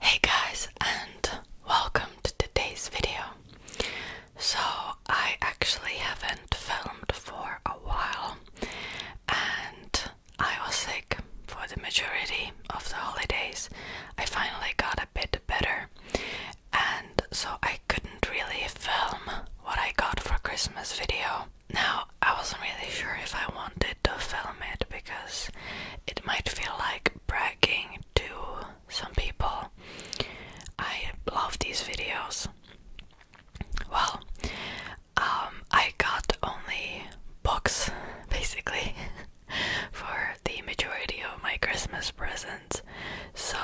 Hey guys, and welcome to today's video. So, I actually haven't filmed for a while, and I was sick for the majority of the holidays. I finally got a bit better, and so I couldn't really film what I got for Christmas video. Now, I wasn't really sure if I wanted to film it because it might feel like bragging to some people. I love these videos. Well, um, I got only books basically for the majority of my Christmas presents, so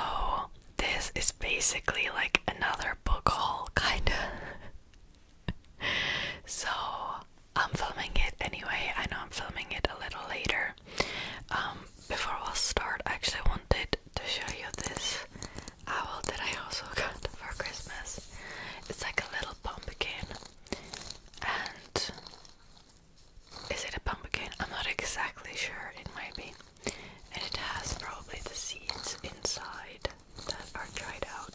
this is basically like another book haul, kinda. so I'm filming it anyway. I know I'm filming it a little later. Um, before I will start, I actually wanted to show you this owl that I also got for Christmas. It's like a little pumpkin, and is it a pumpkin? I'm not exactly sure. It might be, and it has probably the seeds inside that are dried out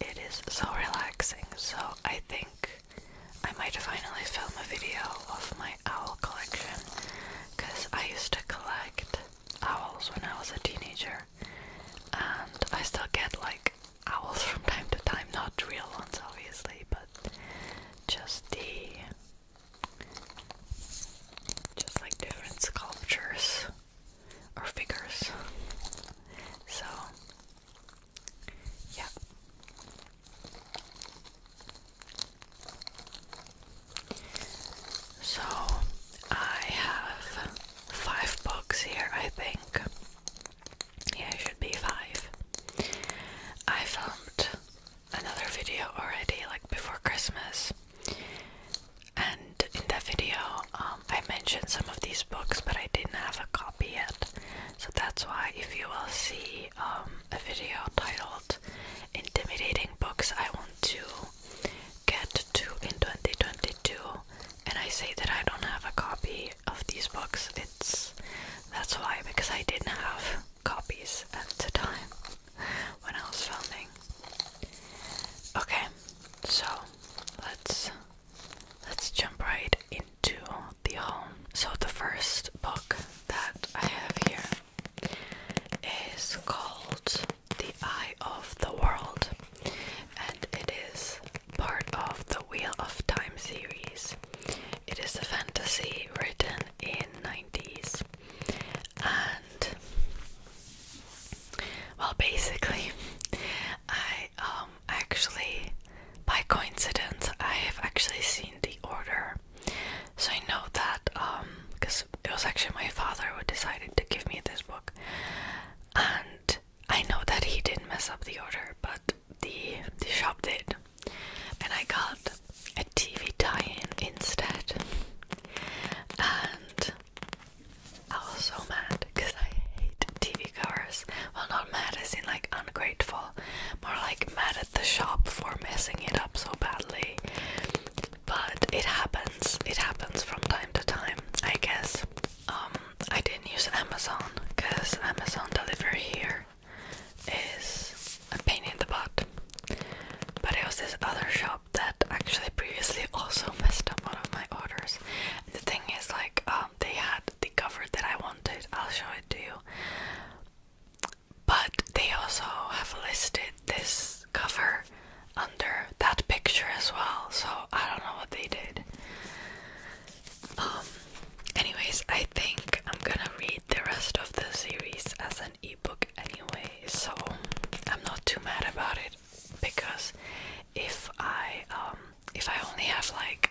it is so relaxing. So I think I might finally film a video of my owl collection because I used to collect owls when I was a teenager, and I still get like owls from time to time, not real ones obviously, but just the just like different sculptures or figures. So, yeah. So, I have five books here, I think. Yeah, it should be five. I filmed another video already, like before Christmas, and in that video, um, I mentioned some of these books, but I didn't have a copy yet. So that's why, if you will see um, a video titled Intimidating Books I Want to Get to in 2022, and I say that I don't have a copy of these books, it's that's why, because I didn't have copies at the time when I was filming. Okay, so let's let's jump right into the home. So the first book that I have here is called The Eye of the World and it is part of the Wheel of Time series. It is a fantasy written in 90s well basically I um actually by coincidence I have actually seen the order so I know that um because it was actually my father who decided to give me this book and I know that he didn't mess up the order but the the shop did and I got a TV tie-in instead and I was so mad because I hate TV covers. Well, not mad I seem like ungrateful, more like mad at the shop for messing it up so badly. But it happens, it happens from time to time, I guess. Um, I didn't use Amazon because Amazon delivery here is a pain in the butt, but it was this other shop that actually previously also messed up one of my orders. And the thing is, like, um, they had the cover that I wanted. I'll show it to you. But they also have listed this cover under that picture as well, so I don't know what they did. Um, anyways, I think I'm gonna read the rest of the series as an ebook anyway, so I'm not too mad about it because if I um, if I only have like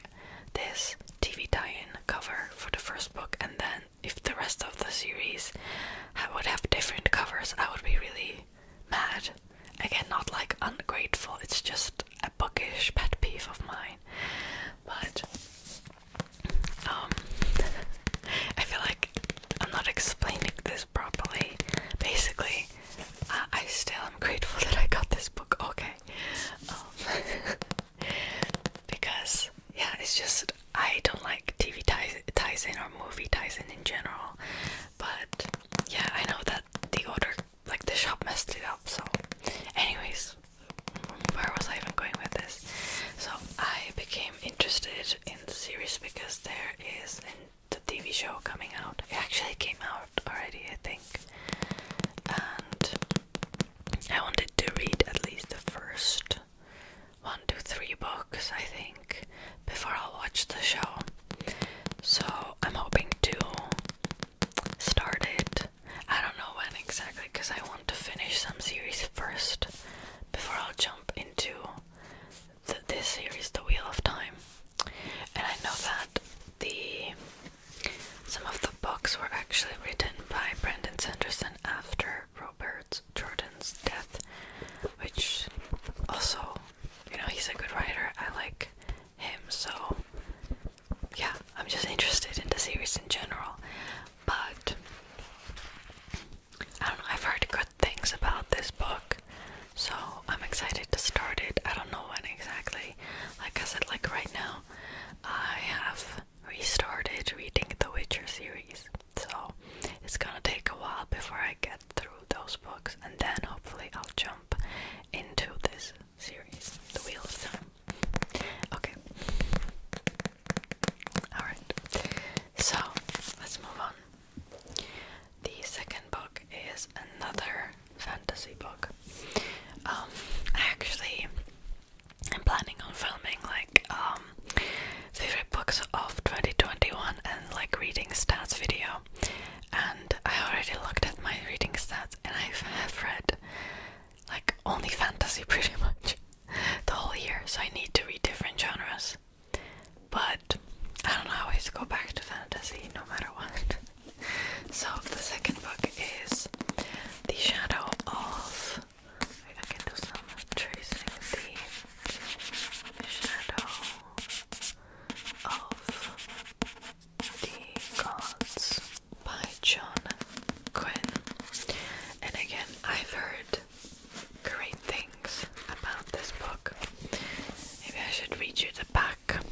this TV tie-in cover for the first book and then if the rest of the series I would have different covers, I would be really mad. Again, not like ungrateful, it's just a bookish pet peeve of mine. But um, I feel like I'm not explaining this properly. Basically, I still am grateful that I got this book. Okay, um, because yeah, it's just I don't like TV Tyson or movie Tyson in general. But yeah, I know that the order, like the shop, messed it up. So, anyways, where was I even going with this? So I became interested in the series because there is the TV show coming out. It actually came out already, I think. And I wanted to read at least the first one, two, three books, I think, before I'll watch the show. So I'm hoping to start it. I don't know when exactly because I want to finish some series first before I'll jump into this series, The Wheel of Time, and I know that the some of the books were actually written by Brandon Sanderson after Robert Jordan's death, which also, you know, he's a good writer. I like him, so yeah, I'm just interested in the series in general. But I don't know, I've heard good things about this book, so I'm excited to start it. I don't know when exactly. Like I said, like right now, I have restarted reading the Witcher series, so it's gonna take a while before I get through those books, and then hopefully I'll jump into this series, The Wheel of Time. Okay. Alright, so let's move on. The second book is another fantasy book. Um, I actually am planning on filming like um favorite books of 2021 and like reading stats video. And I already looked at my reading stats and I have read like only fantasy pretty much the whole year, so I need to read different genres. But I don't know, I always go back to fantasy no matter what. so the second book is The Shadow of I can do some tracing the shadow of the gods by John Quinn. And again I've heard great things about this book. Maybe I should read you the back.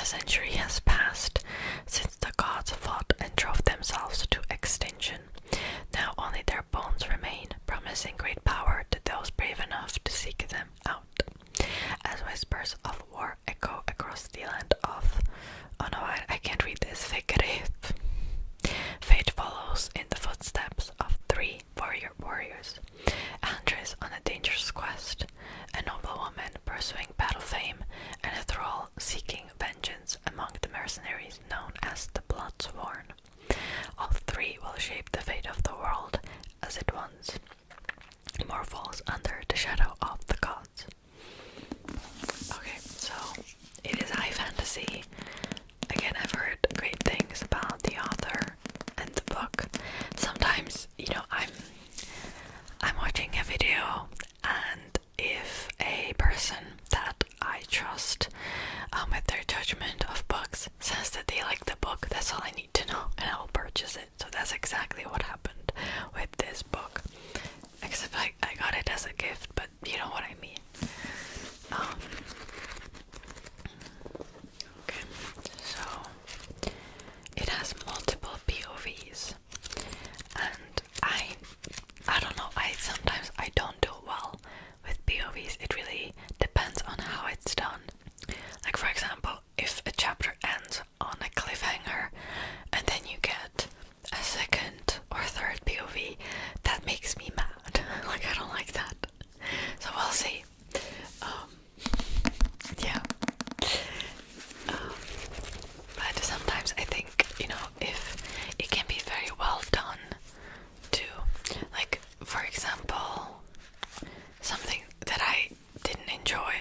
A century has passed since the gods fought and drove themselves to extinction. Now only their bones remain, promising great power to those brave enough to seek them out. As whispers of war echo across the land of. Oh no, I, I can't read this. Fate follows in the footsteps of three warrior warriors. Andres on a dangerous quest, a noble woman pursuing battle fame, and a thrall seeking vengeance among the mercenaries known as the Bloodsworn. All three will shape the fate of the world as it once more falls under the shadow of the gods. Okay, so it is high fantasy. Again, I've heard great things about the author and the book. Sometimes, you know, I'm I'm watching a video and if a person that I trust um, with their judgment of books says that they like the book, that's all I need to know and I will purchase it. So that's exactly what happened with this book. Except I, I got it as a gift, but you know what I mean. Um, okay, so it has multiple POVs, and I, I don't know. I sometimes I don't do well with POVs. It really depends on how it's done. Like for example, if a chapter ends on a cliffhanger, and then you get a second or third POV, that makes me mad. like, I don't like that. So we'll see. Um, yeah. Um, but sometimes I think, you know, if it can be very well done too. Like, for example, something that I didn't enjoy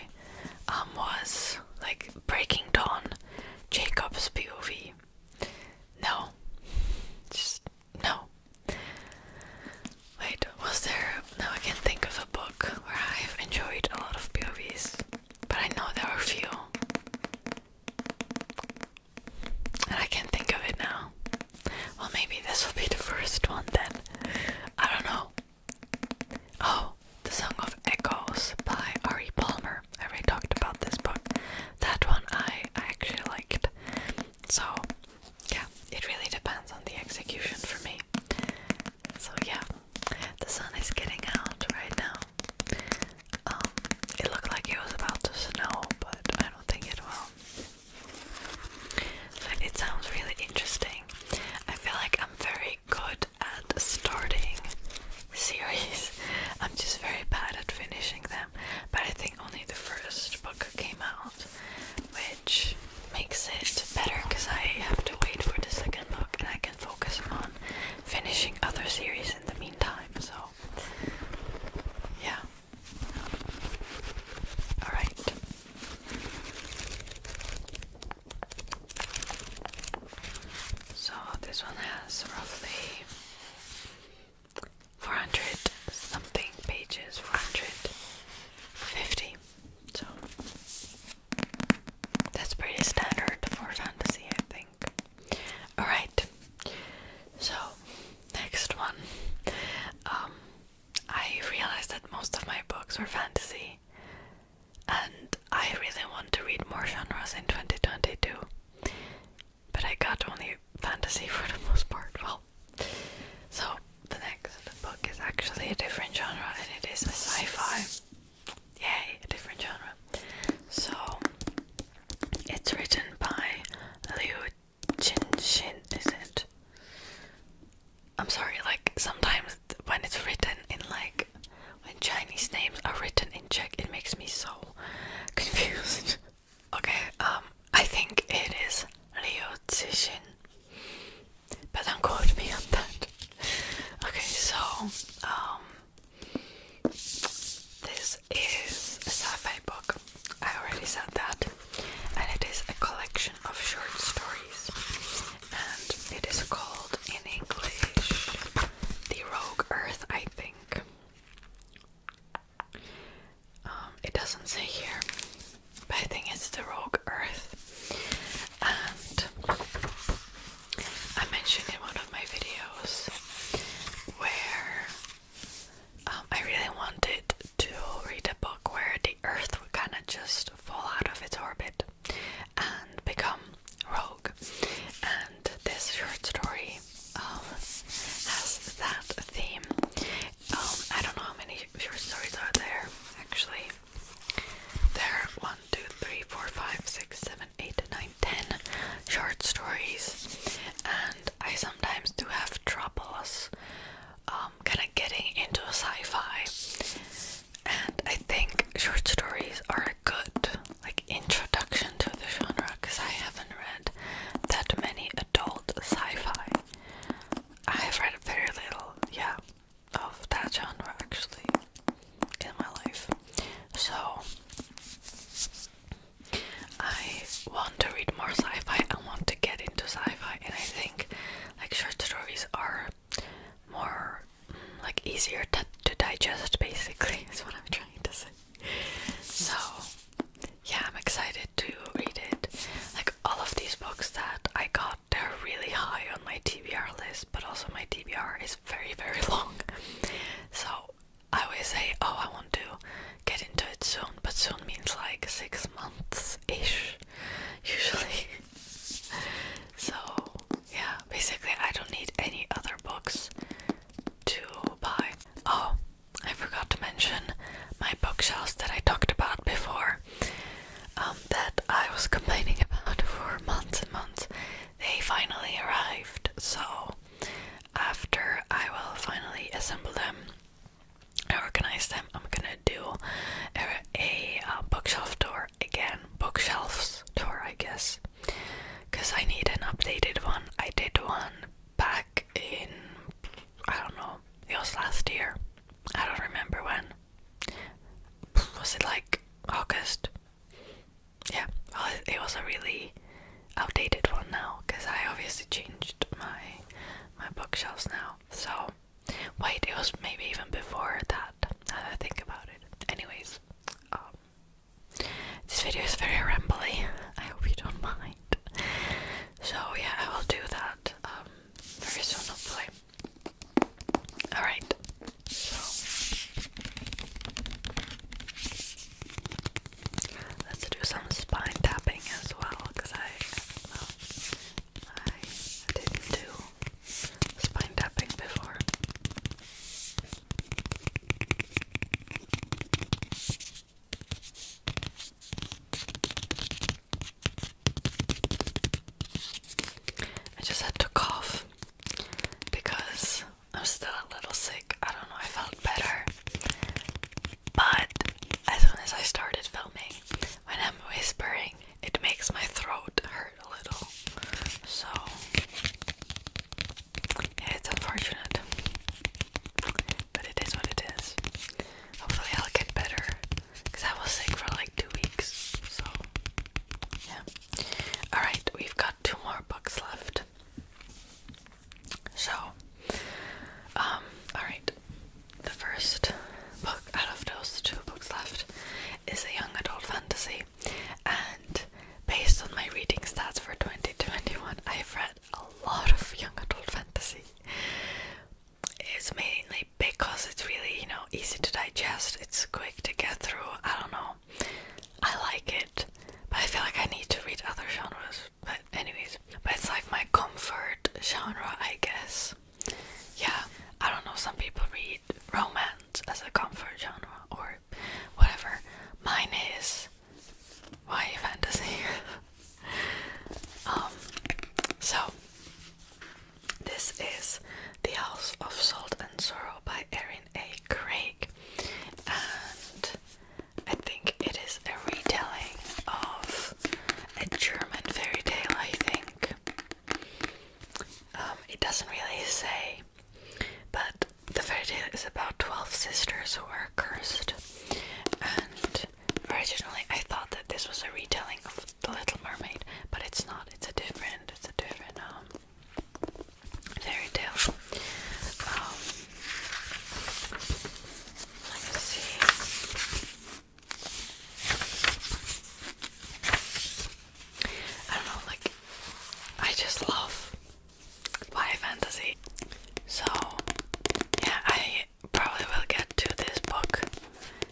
um, was like Breaking Dawn, Jacob's POV. No. Just no. Wait, was there No, I can think of a book where I've enjoyed a lot of POVs. But I know there are a few. And I can't think of it now. Well maybe this will be the first one then. I don't know. Oh, the Song of Echoes by Ari Palmer. I already talked about this book. That one I, I actually liked. So, yeah, it really depends on the execution for me. So, yeah, the sun is getting out right now. Um, it looked like it was about to snow, but I don't think it will. So, it sounds really interesting. I feel like I'm very good at starting series. I'm just very bad at finishing them, but I think only the first book came out, which makes it better because I have to wait for the second book and I can focus on finishing other series in the meantime. So, yeah. Alright. So, this one has roughly 400 something pages, 450. So that's pretty standard for fantasy, I think. Alright, so next one. Um, I realized that most of my books were fantasy, and I really want to read more genres in 2022. But I got only fantasy for the most part. Well, so the next book is actually a different genre and it is a sci fi. Yay, a different genre. So it's written by Liu Jinshin, is it? I'm sorry, like sometimes when it's written in like when Chinese names are written in Czech, it makes me so confused. okay, um, I think it is Leo Zishin. But don't quote me on that. Okay, so, um, this is a sci fi book. I already said that. And it is a collection of short stories. And it is called in English The Rogue Earth, I think. Um, it doesn't say here, but I think it's the Rogue Earth. And I mentioned in one of my videos where um, I really wanted to read a book where the Earth would kind of just fall out of its orbit and become Rogue, and this short story um, has that theme. Um, I don't know how many short stories are there actually. There are short stories, and I sometimes do have troubles um, kind of getting into sci fi. And I think short stories are good like introduction to the genre because I haven't read that many adult sci-fi. I have read very little, yeah, of that genre actually in my life. So I want to read more sci-fi. I want to get into sci-fi, and I think like short stories are more like easier to, to digest basically is what I'm trying to say. So yeah, I'm excited to read it. Like all of these books that I got, they're really high on my TBR list, but also my TBR is very, very long. So I always say, oh, I want to get into it soon, but soon means like six months ish, usually. so yeah, basically, I don't need any other books to buy. Oh, I forgot to mention my bookshelves that I talked about before. Um, that I was complaining about for months and months. They finally arrived, so after I will finally assemble them and organize them, I'm gonna do a bookshelf tour again. Bookshelves tour, I guess because I need an updated one. I did one back in, I don't know, it was last year. I don't remember when. Was it like August? Yeah, it was a really outdated one now because I obviously changed my my bookshelves now. So wait, it was maybe even before that. I think about it. Anyways, um, this video is very rambly. I hope you don't mind. So yeah, I will do that um, very soon, hopefully. All right. let's do some spine tapping as well, because I, I didn't do spine tapping before. I just had to cough because I'm still a little sick. I don't know, I felt better. But as soon as I started filming, when I'm whispering, it makes my throat hurt a little. So it's unfortunate. But it is what it is. Hopefully I'll get better. Cause I was sick for like two weeks. So yeah. Alright, we've got two more books left. So um, alright. The first book out of those two books left is a young adult fantasy and based on my reading stats for 2021, I've read a lot of young adult fantasy. It's mainly because it's really, you know, easy to digest, it's quick to get through. I don't know, I like it, but I feel like I need to read other genres. But, anyways, but it's like my comfort genre, I guess. Yeah, I don't know, some people read romance as a comfort genre or or whatever. Mine is YA fantasy. um, so this is The House of Salt and Sorrow by Erin A. Craig, and I think it is a retelling of a German fairy tale. I think um, it doesn't really say but the fairy tale is about 12 sisters who are cursed. And originally I thought that this was a retelling of The Little Mermaid, but it's not. It's a different, it's a different um fairy tale. Um, let me see. I don't know, like, I just love Y fantasy. So, yeah, I probably will get to this book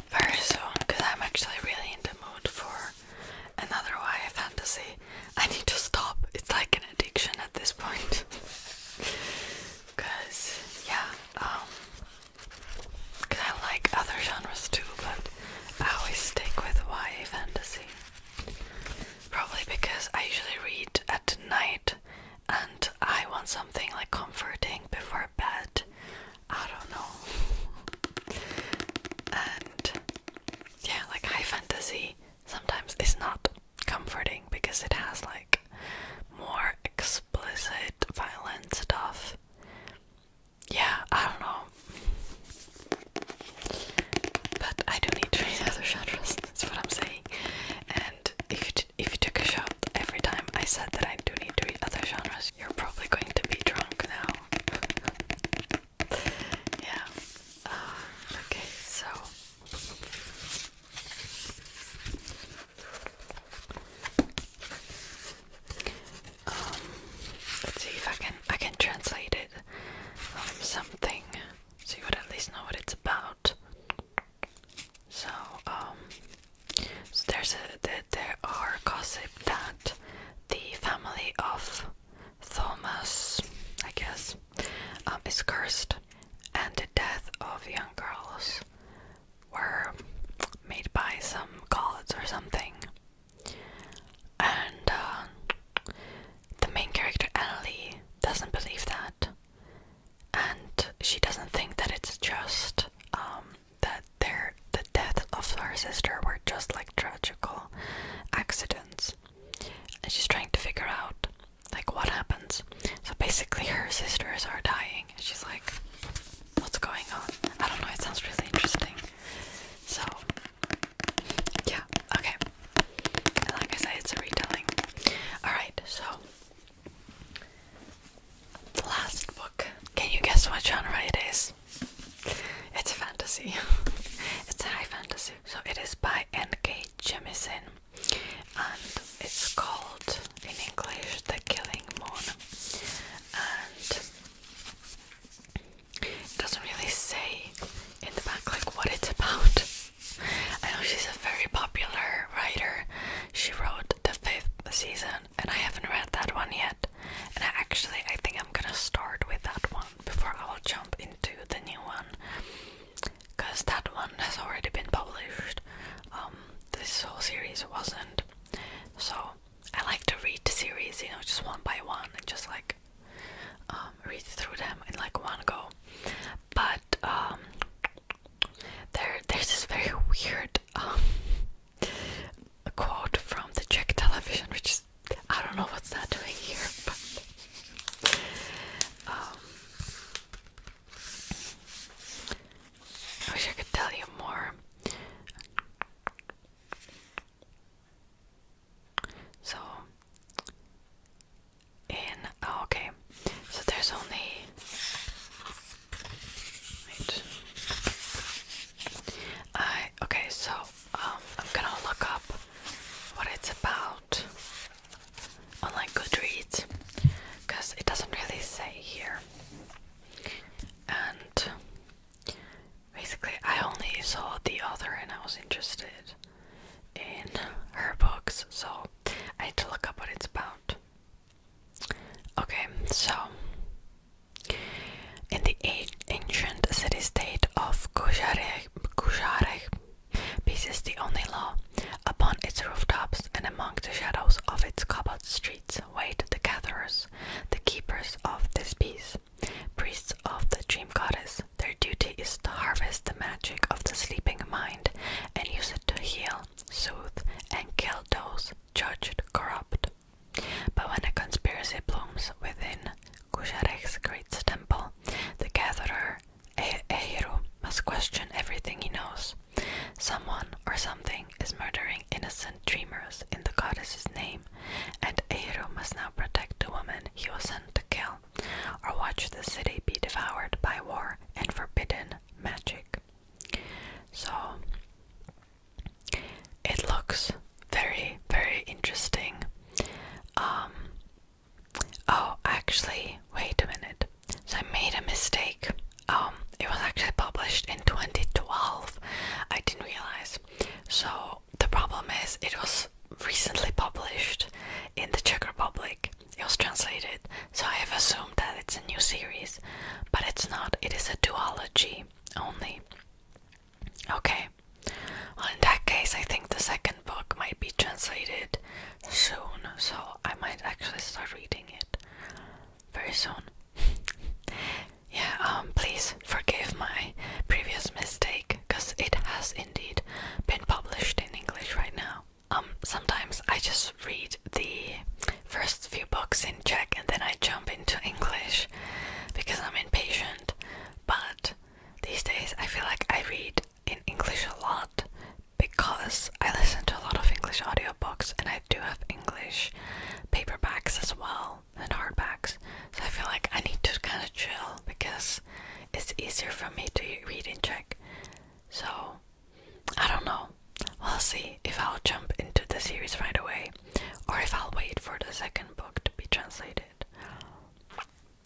very soon because I'm actually really in the mood for another Y fantasy. I need to stop, it's like an addiction at this point. Because, yeah, um, because I like other genres too, but I always stick with YA fantasy. Probably because I usually read at night and I want something like comforting before bed. I don't know. And yeah, like high fantasy sometimes is not comforting because it has like more explicit violent stuff yeah, I don't know. But I do need to eat other genres. That's what I'm saying. And if you if you took a shot every time I said that I do need to eat other genres, you're probably going to be drunk now. yeah. Uh, okay. So. Um, let's see if I can I can translate it um, something so you would at least know what it's about. So um, there's a there, are gossip that the family of Thomas, I guess, um, is cursed, and the death of young girls were made by some gods or something. And uh, the main character, Ellie, doesn't believe that. And she doesn't think that it's just um, that their, the death of her sister were just like tragical accidents. And she's trying to figure out like what happens. So basically, her sisters are dying. She's like, "What's going on?" I don't know. It sounds really interesting. So, yeah, okay. And like I said, it's a retelling. Alright, so the last book. Can you guess what genre it is? It's fantasy. it's high fantasy. So it is by N.K. Jemisin and it's called in English The Killing Moon. And it doesn't really say in the back like what it's about. I know she's a very popular writer. She wrote the fifth season and I haven't read that one yet. And I actually I think I'm gonna start with that one before I will jump into the new one. Cause that one has already been published. Um this whole series wasn't. So I like to read the series, you know, just one by one and just like um, read through them in like one go. But um, there, there's this very weird um, quote from the Czech television, which is I don't know what's that doing here, but I wish I could tell you more. So, in oh, okay, so there's only I okay, so um, I'm gonna look up what it's about on Goodreads because it doesn't really say here, and basically, I only saw the author and I was interested in her books, so I had to look up what it's about. Okay, so in the ancient city state of Kusharek, peace is the only law. Upon its rooftops and among the shadows of its cobble streets wait the gatherers, the keepers of this peace. Priests of the dream goddess, their duty is to harvest the magic of the sleeping mind and use it to heal, soothe, and kill those judged corrupt. But when a conspiracy blooms within Kujarek's great temple, the gatherer, Ehiru, must question everything he knows. Someone or something is murdering innocent dreamers in the goddess's name, and Eiru must now protect the woman he was sent to kill, or watch the city be devoured by war and forbidden magic. So, it looks very, very interesting. Um, oh, actually, wait a minute. So, I made a mistake. Um, it was actually published in 2012. I didn't realize. So the problem is, it was recently published in the Czech Republic. It was translated, so I have assumed that it's a new series, but it's not. It is a duology only. Okay. Well, in that case, I think the second book might be translated soon, so I might actually start reading it very soon. yeah, um, please forgive my previous mistake, because it has indeed been published in English right now. Um, sometimes I just read the first few books in Czech and then I jump into English because I'm impatient. But these days I feel like I read in English a lot because I listen to a lot of English audiobooks and I do have English paperbacks as well than hardbacks. So I feel like I need to kind of chill because it's easier for me to read and check. So I don't know. We'll see if I'll jump into the series right away or if I'll wait for the second book to be translated.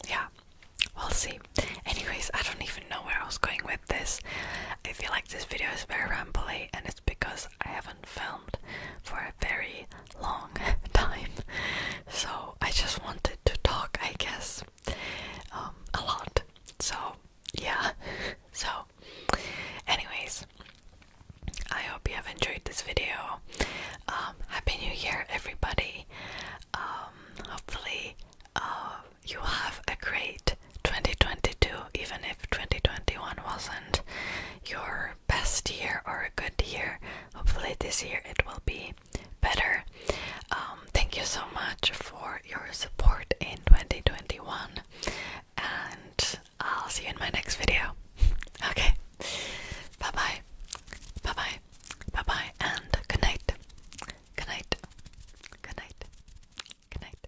Yeah, we'll see. Anyways, I don't even know where I was going with this. I feel like this video is very rambly and it's because I haven't filmed for a very long time. So I just wanted to talk, I guess, um, a lot. So, yeah. So, anyways, I hope you have enjoyed this video. Um, Happy New Year, everybody. Um, hopefully, uh, you have a great 2022, even if 2021 wasn't your best year or a good year. Hopefully, this year it will be better. Um, thank you so much for your support in 2021, and I'll see you in my next video. Okay, bye bye, bye bye, bye bye, and good night, good night, good night, good night.